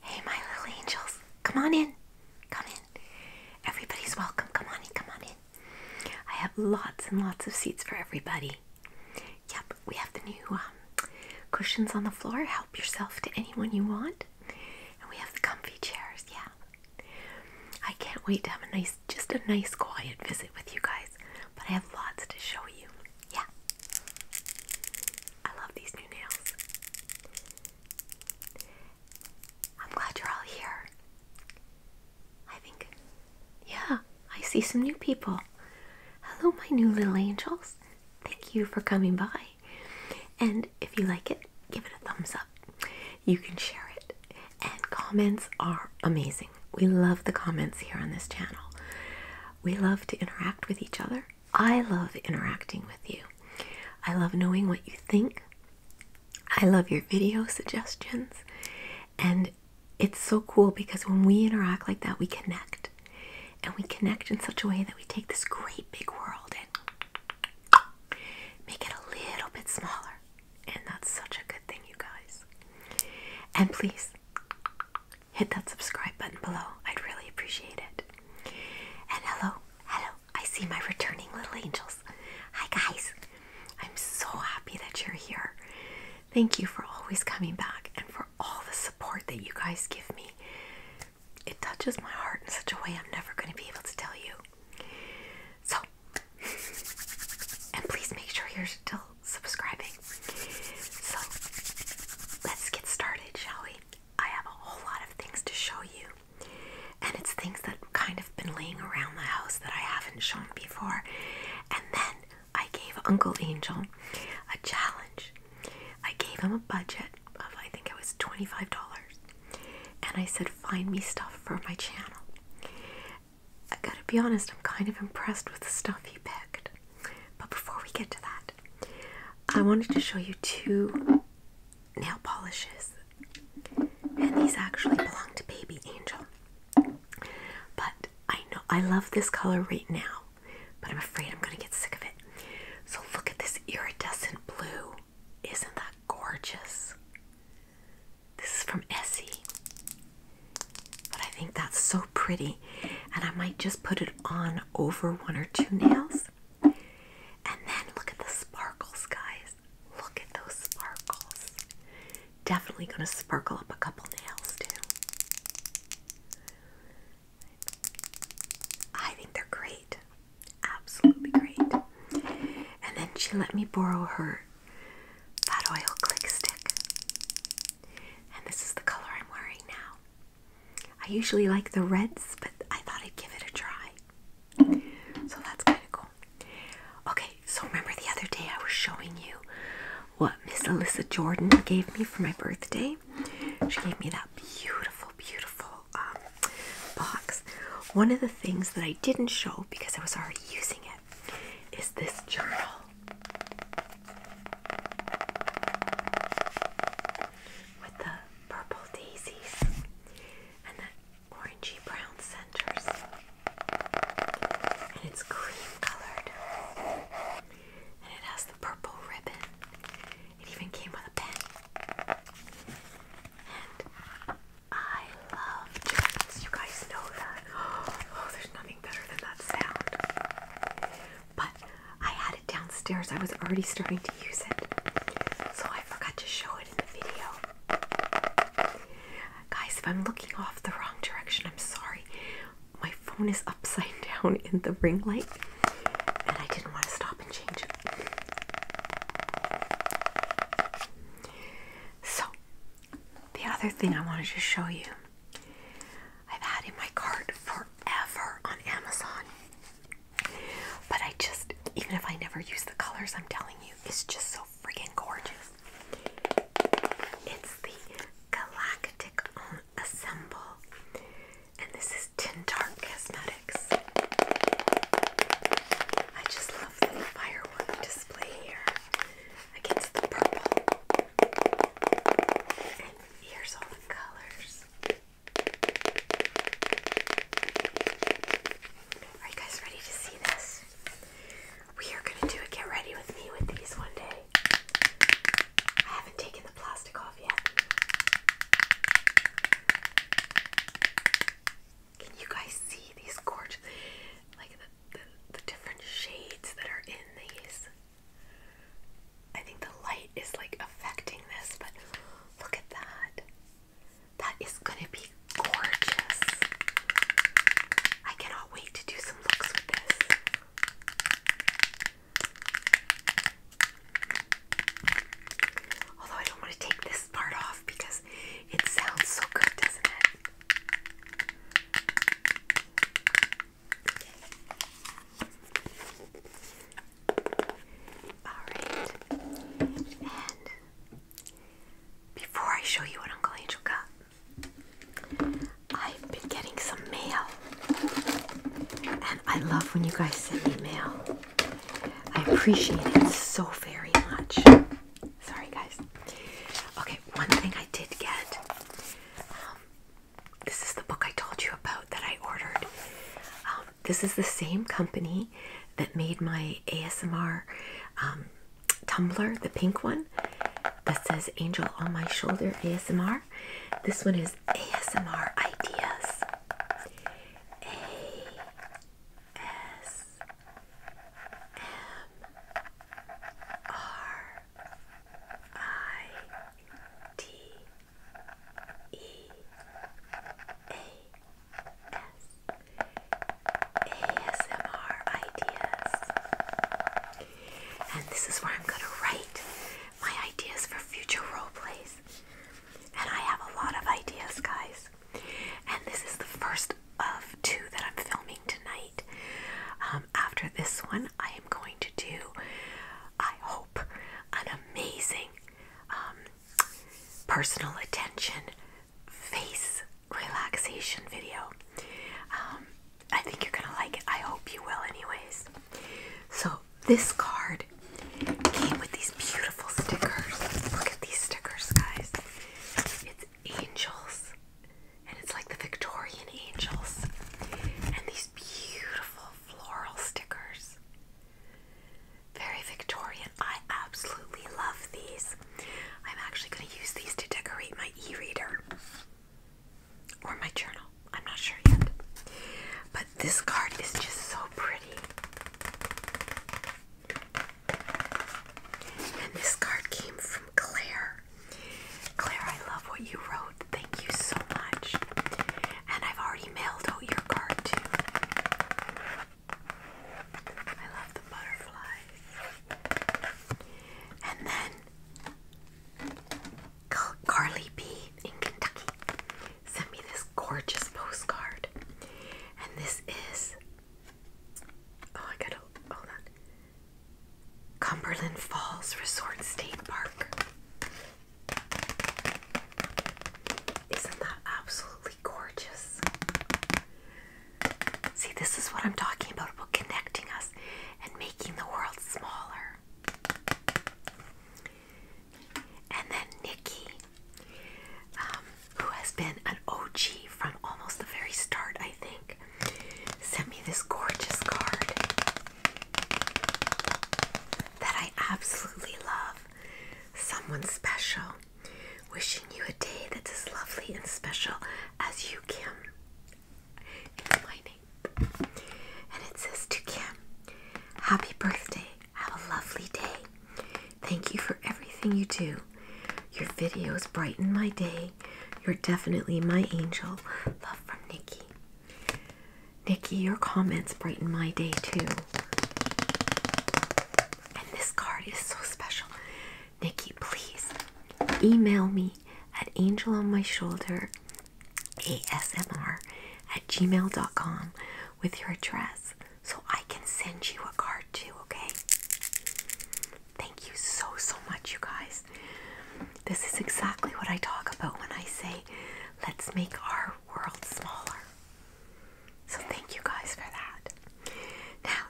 Hey, my little angels, come on in. Come in. Everybody's welcome. Come on in. Come on in. I have lots and lots of seats for everybody. Yep, we have the new um, cushions on the floor. Help yourself to anyone you want. And we have the comfy chairs. Yeah. I can't wait to have a nice, just a nice, quiet visit with you guys. But I have lots to show you. Yeah. I love these new nails. I'm glad you're all here. I think, yeah, I see some new people. Hello, my new little angels. Thank you for coming by. And if you like it, give it a thumbs up. You can share it. And comments are amazing. We love the comments here on this channel. We love to interact with each other I love interacting with you. I love knowing what you think. I love your video suggestions. And it's so cool because when we interact like that, we connect. And we connect in such a way that we take this great big world and make it a little bit smaller. And that's such a good thing, you guys. And please hit that subscribe button below. I'd really appreciate it. And hello, hello. I see my returning little angels. Hi, guys. I'm so happy that you're here. Thank you for always coming back and for all the support that you guys give me. It touches my heart in such a way I'm never going to be able to tell you. So, and please make sure you're still subscribing so let's get started, shall we? I have a whole lot of things to show you, and it's things that kind of been laying around the house that I haven't shown before. And then I gave Uncle Angel a challenge. I gave him a budget of I think it was $25, and I said, Find me stuff for my channel. I gotta be honest, I'm kind of impressed with the stuff he picked. But before we get to that, I wanted to show you two nail polishes. And these actually belong to Baby Angel. But I know I love this color right now, but I'm afraid I'm going to get sick of it. So look at this iridescent blue. Isn't that gorgeous? This is from Essie. But I think that's so pretty and I might just put it on over one or two nails. And then look at the sparkles, guys. Look at those sparkles. Definitely going to sparkle up a couple nails too. I think they're great. Absolutely great. And then she let me borrow her Fat Oil Click Stick. And this is the color I'm wearing now. I usually like the reds, but I thought I'd give it a try. So that's kind of cool. Okay, so remember the other day I was showing you what Miss Alyssa Jordan gave me for my birthday? She gave me that beautiful, beautiful um, box. One of the things that I didn't show because I was already using it is this journal with the purple daisies and the orangey brown centers, and it's cream colored, and it has the purple ribbon. It even came with a pen, and I love journals. You guys know that. Oh, there's nothing better than that sound but I had it downstairs. I was already starting to use it, so I forgot to show it in the video. Guys, if I'm looking off the wrong direction, I'm sorry. My phone is upside down in the ring light, and I didn't want to stop and change it. So, the other thing I wanted to show you, I've had in my cart for forever on Amazon. But I just, even if I never use the colors, I'm telling you, it's just so freaking gorgeous. It's the Galactic Assemble, and this is Tintart Cosmetics. I just love the firework display here against the purple. Here's all the colors. Are you guys ready to see this? We are gonna do a get ready with me with these one day. I haven't taken the plastic off yet. Can you guys see these gorgeous, like the, the different shades that are in these? I think the light is like affecting this, but look at that. That is gonna be gorgeous. I cannot wait to do some looks with this. Although I don't want to take this part off because it sounds so good, doesn't it? Alright. And before I show you what Uncle Angel I've been getting some mail. And I love when you guys send me mail. I appreciate it so very much. Sorry, guys. Okay, one thing I did get um, this is the book I told you about that I ordered. Um, this is the same company that made my ASMR um, tumbler, the pink one that says Angel on My Shoulder ASMR. This one is ASMR Ideas. A S M R I T E A S ASMR ideas. And this is where I'm going to write my ideas for future role plays. And I have a lot of ideas, guys. And this is the first of two that I'm filming tonight. Um, after this one, I am going to do, I hope, an amazing um, personal attention face relaxation video. Um, I think you're gonna like it. I hope you will, anyways. So, this card came with these beautiful stickers. Look at these stickers, guys. It's angels and it's like the Victorian angels and these beautiful floral stickers. Very Victorian. I absolutely love these. I'm actually going to use these to decorate my e reader or my journal. I'm not sure yet. But this card is just so pretty. And this card came from Claire. Claire, I love what you wrote. Thank you so much. And I've already mailed out your card too. I love the butterflies. And then Carly B in Kentucky sent me this gorgeous postcard. And this is. Oh, I gotta. Hold on. Cumberland Falls Resort State Park. Isn't that absolutely gorgeous? See, this is what I'm talking about about connecting us and making the world smaller. And then Nikki, um, who has been an OG from almost the very start, I think, sent me this gorgeous card that I absolutely love. Someone special wishing you a day that's as lovely and special as you, Kim. It's my name. And it says to Kim, Happy birthday. Have a lovely day. Thank you for everything you do. Your videos brighten my day you're definitely my angel. Love from Nikki. Nikki, your comments brighten my day too. And this card is so special. Nikki, please email me at angel on my shoulder asmr at gmail.com with your address so I can send you a card too, okay? Thank you so, so much, you guys. This is exactly what I talk about when I say, let's make our world smaller. So, thank you guys for that. Now,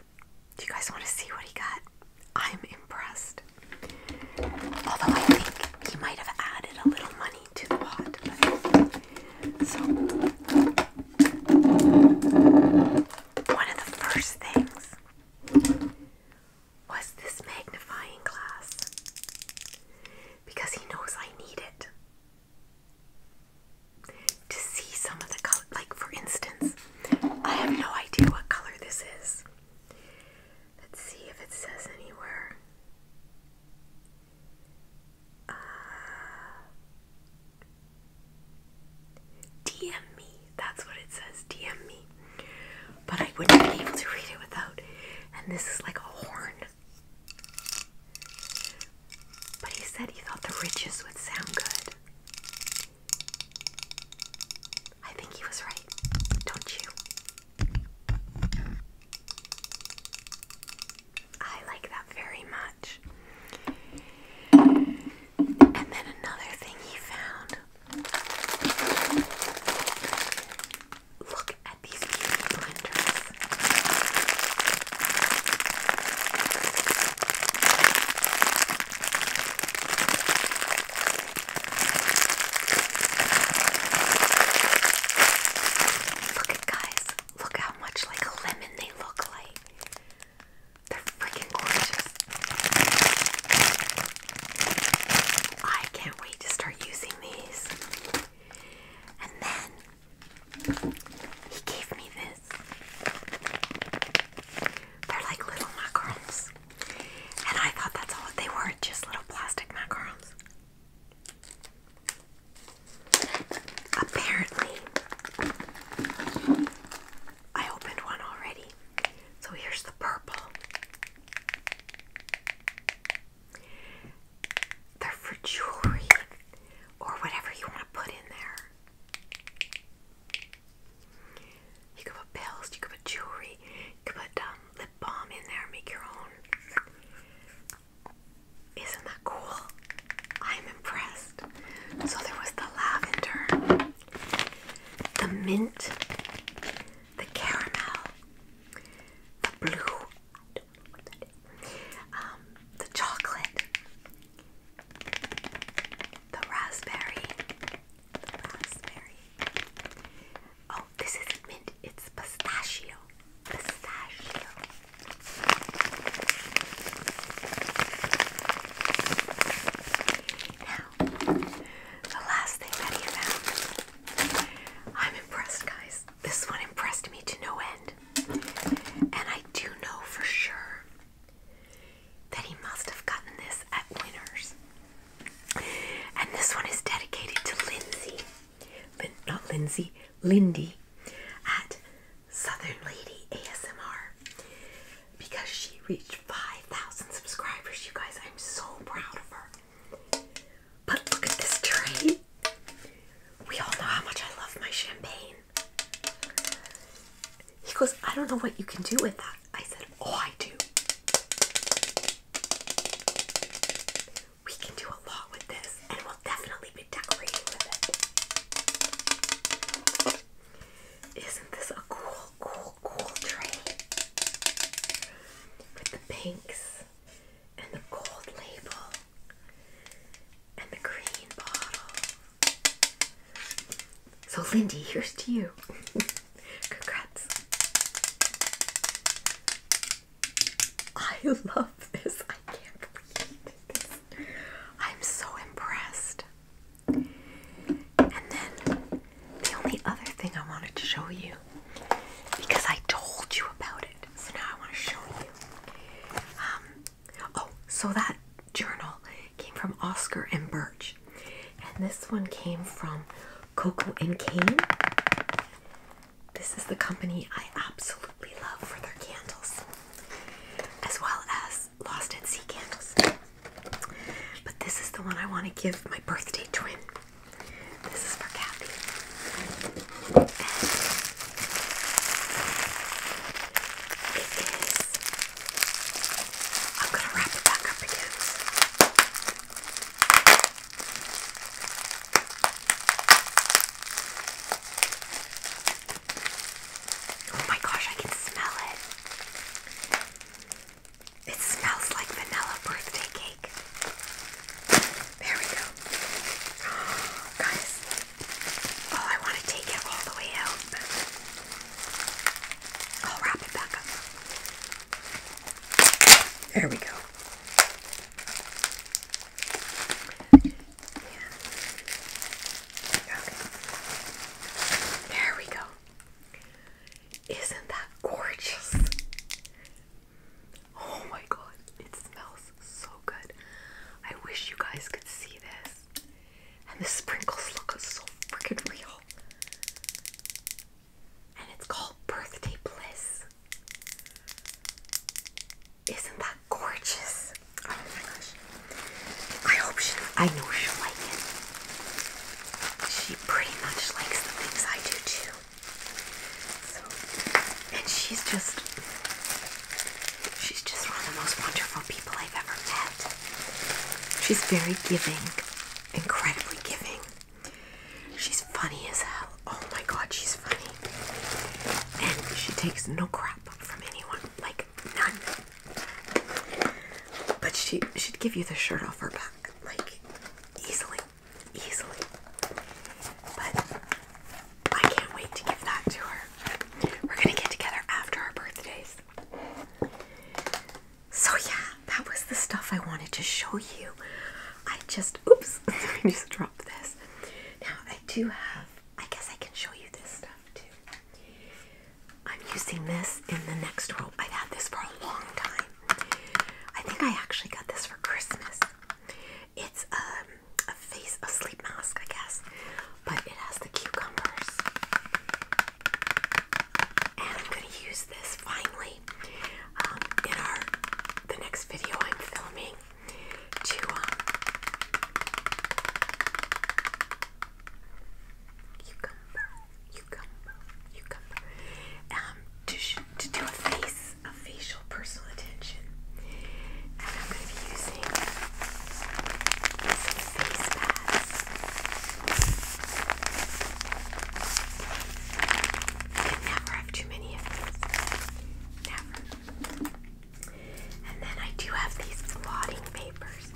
do you guys want to see what he got? I'm impressed. Although I think he might have added a little money to the pot. so, one of the first things was this magnifying glass because he knows I need it to see some of the color. Like, for instance, I have no idea what color this is. Let's see if it says anywhere. Uh, DM me that's what it says. DM me. But I wouldn't be able to read it without. And this is like a horn. But he said he thought the riches would sound good. I think he was right, don't you? I like that very much. And then another thing he found. Look at these beauty blenders. Look at guys. Look how much like a lemon they look like. They're freaking gorgeous. I can't wait to start using these. And then he gave me this. They're like little macarons. And I thought that's all they were, just little plastic macarons. Apparently, I opened one already. So here's the purple. They're for jewelry or whatever you want to put in there. You could put pills, you could put jewelry, you could put um, lip balm in there, make your own. Isn't that cool? I'm impressed. So there was the lavender the mint, the caramel, the blue, um, the chocolate, the raspberry, the raspberry. Oh, this isn't mint, it's pistachio. Pistachio the last thing that he found. I'm impressed, guys. This one impressed me to no end. And I do know for sure that he must have gotten this at Winners. And this one is dedicated to Lindsey, Lin not Lindsey, Lindy at Southern Lady ASMR because she reached 5,000 subscribers. You guys, I'm so proud of her. But look at this tray. We all know how much I love my champagne. He goes, I don't know what you can do with that. I said, Oh, I do. We can do a lot with this, and we'll definitely be decorating with it. Isn't this a cool cool, cool, tray with the pinks and the gold label and the green bottle. So, Lindy, here's to you. Congrats. I love this. I can't believe this. I'm so impressed. And then the only other thing I wanted to show you, because I told you about it, so now I want to show you. Um, oh, so that journal came from Oscar and Birch, and this one came from Coco and Kane. This is the company I absolutely love for their candles, as well as Lost at Sea candles. But this is the one I want to give my birthday twin. This is for Kathy. is. I'm going to wrap it up again. Oh my gosh, I can smell it. It smells like vanilla birthday cake. There we go. Oh, guys, oh, I want to take it all the way out. I'll wrap it back up. There we go. There we go. Isn't that gorgeous? Oh my god, it smells so good. I wish you guys could see this. And the sprinkles look so freaking real. And it's called Birthday Bliss. Isn't that gorgeous? Oh my gosh. I hope she, I know she'll like it. She pretty much likes the things I do too. and she's just, she's just one of the most wonderful people I've ever met. She's very giving, incredibly giving. She's funny as hell. Oh my god, she's funny. And she takes no crap from anyone. Like, none. But she should give you the shirt off her back, like easily, easily. But I can't wait to give that to her. We're gonna get together after our birthdays. So yeah, that was the stuff I wanted to show you. I just oops, I just dropped this. Now I do have I guess I can show you this stuff too. I'm using this in the next row. I've had this for a long time. I think I actually got this for Christmas. It's um, a face, a sleep mask, I guess, but it has the cucumbers. And I'm going to use this finally um, in our the next video I'm filming to um, cucumber, cucumber, cucumber. Um, to, to do a face, a facial personal attention. I'm going to be using some face pads. You can never have too many of these. Never. And then I do have these blotting papers.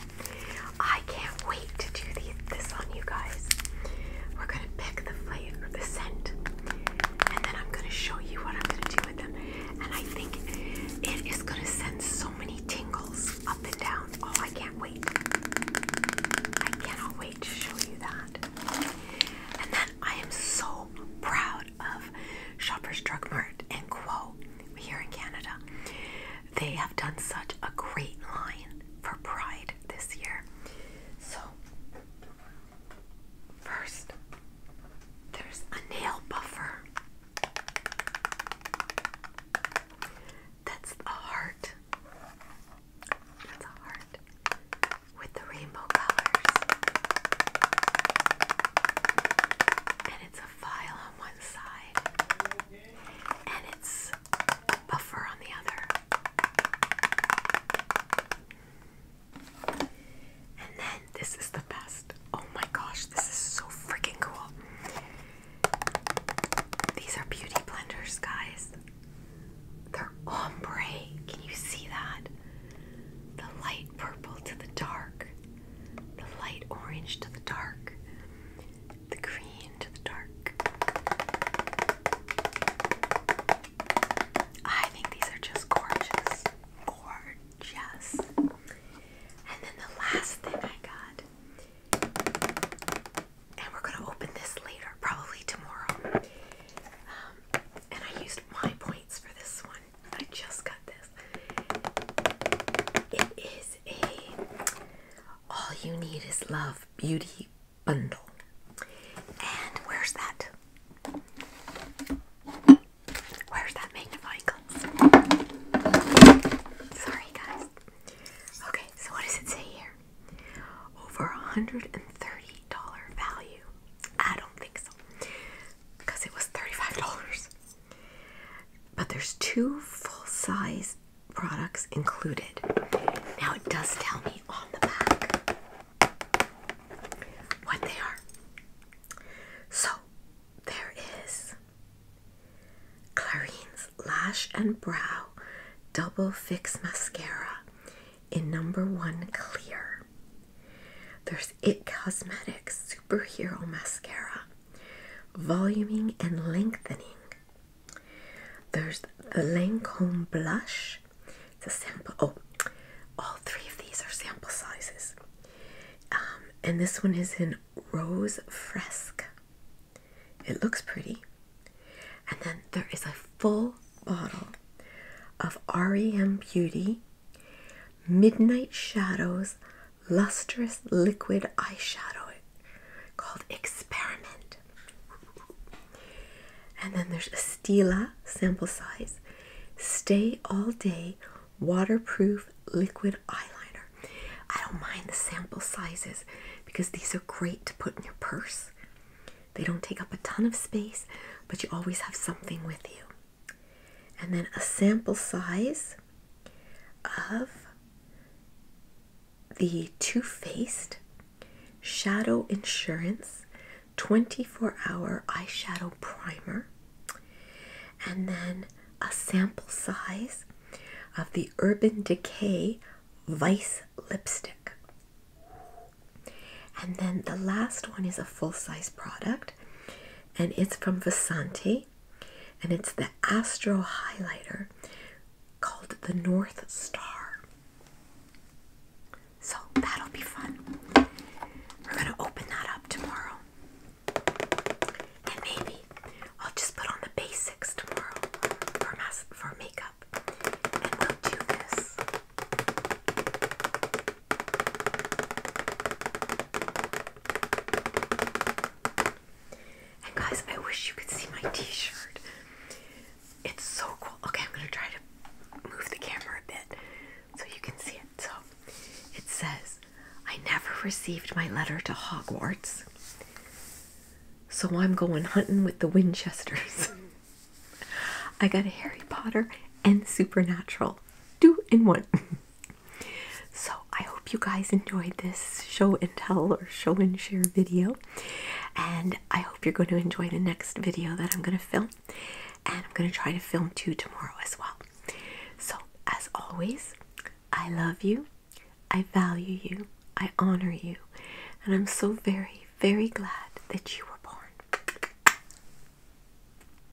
I can't wait to do this on you guys. We're gonna pick the flavor, the scent, and then I'm gonna show you what I'm gonna do with them. And I think it is gonna send so many tingles up and down. Oh, I can't wait. I cannot wait to show you that. And then I am so proud of Shoppers Drug Mart End quote here in Canada. They have done such a great line for Pride this year. So, first, there's a nail buffer that's a heart. That's a heart with the rainbow colors it's a file on one side and it's buffer on the other. And then this is the best. Oh my gosh, this is so freaking cool. These are beauty blenders, guys. They're ombre. Can you see that? The light purple to the dark the light orange to the dark, the green to the dark. I think these are just gorgeous. Gorgeous. And then the last thing I got, and we're going to open this later, probably tomorrow. Um, and I used my points for this one. I just got this. It is a all you need is love beauty bundle. And where's that? Where's that magnifying glass? Sorry, guys. Okay, so what does it say here? Over a $130 value. I don't think so. Because it was $35. But there's two full-size products included. Now it does tell me on the back what they are. So there is Clarine's Lash and Brow Double Fix Mascara in number one clear. There's It Cosmetics Superhero Mascara voluming and lengthening. There's the Lancome blush. It's a sample. Oh, all three of these are sample sizes. Um, and this one is in Rose Fresque. It looks pretty. And then there is a full bottle of REM Beauty Midnight Shadows lustrous liquid eyeshadow called Experiment. And then there's a Stila sample size Stay All Day Waterproof Liquid Eyeliner. I don't mind the sample sizes because these are great to put in your purse. They don't take up a ton of space, but you always have something with you and then a sample size of the Too Faced Shadow Insurance 24 Hour Eyeshadow Primer, and then a sample size of the Urban Decay Vice Lipstick. And then the last one is a full size product and it's from Vasanti, and it's the Astro Highlighter called the North Star. So that'll be fun. We're going to open that up tomorrow. And maybe I'll just put on the basics tomorrow for makeup. And we'll do this guys, I wish you could see my t-shirt. It's so cool. Okay, I'm gonna try to move the camera a bit so you can see it. So it says, I never received my letter to Hogwarts. So I'm going hunting with the Winchesters. I got a Harry Potter and Supernatural. do in one. So I hope you guys enjoyed this show and tell or show and share video. And I hope you're going to enjoy the next video that I'm going to film. And I'm going to try to film two tomorrow as well. So, as always, I love you, I value you, I honor you, and I'm so very, very glad that you were born.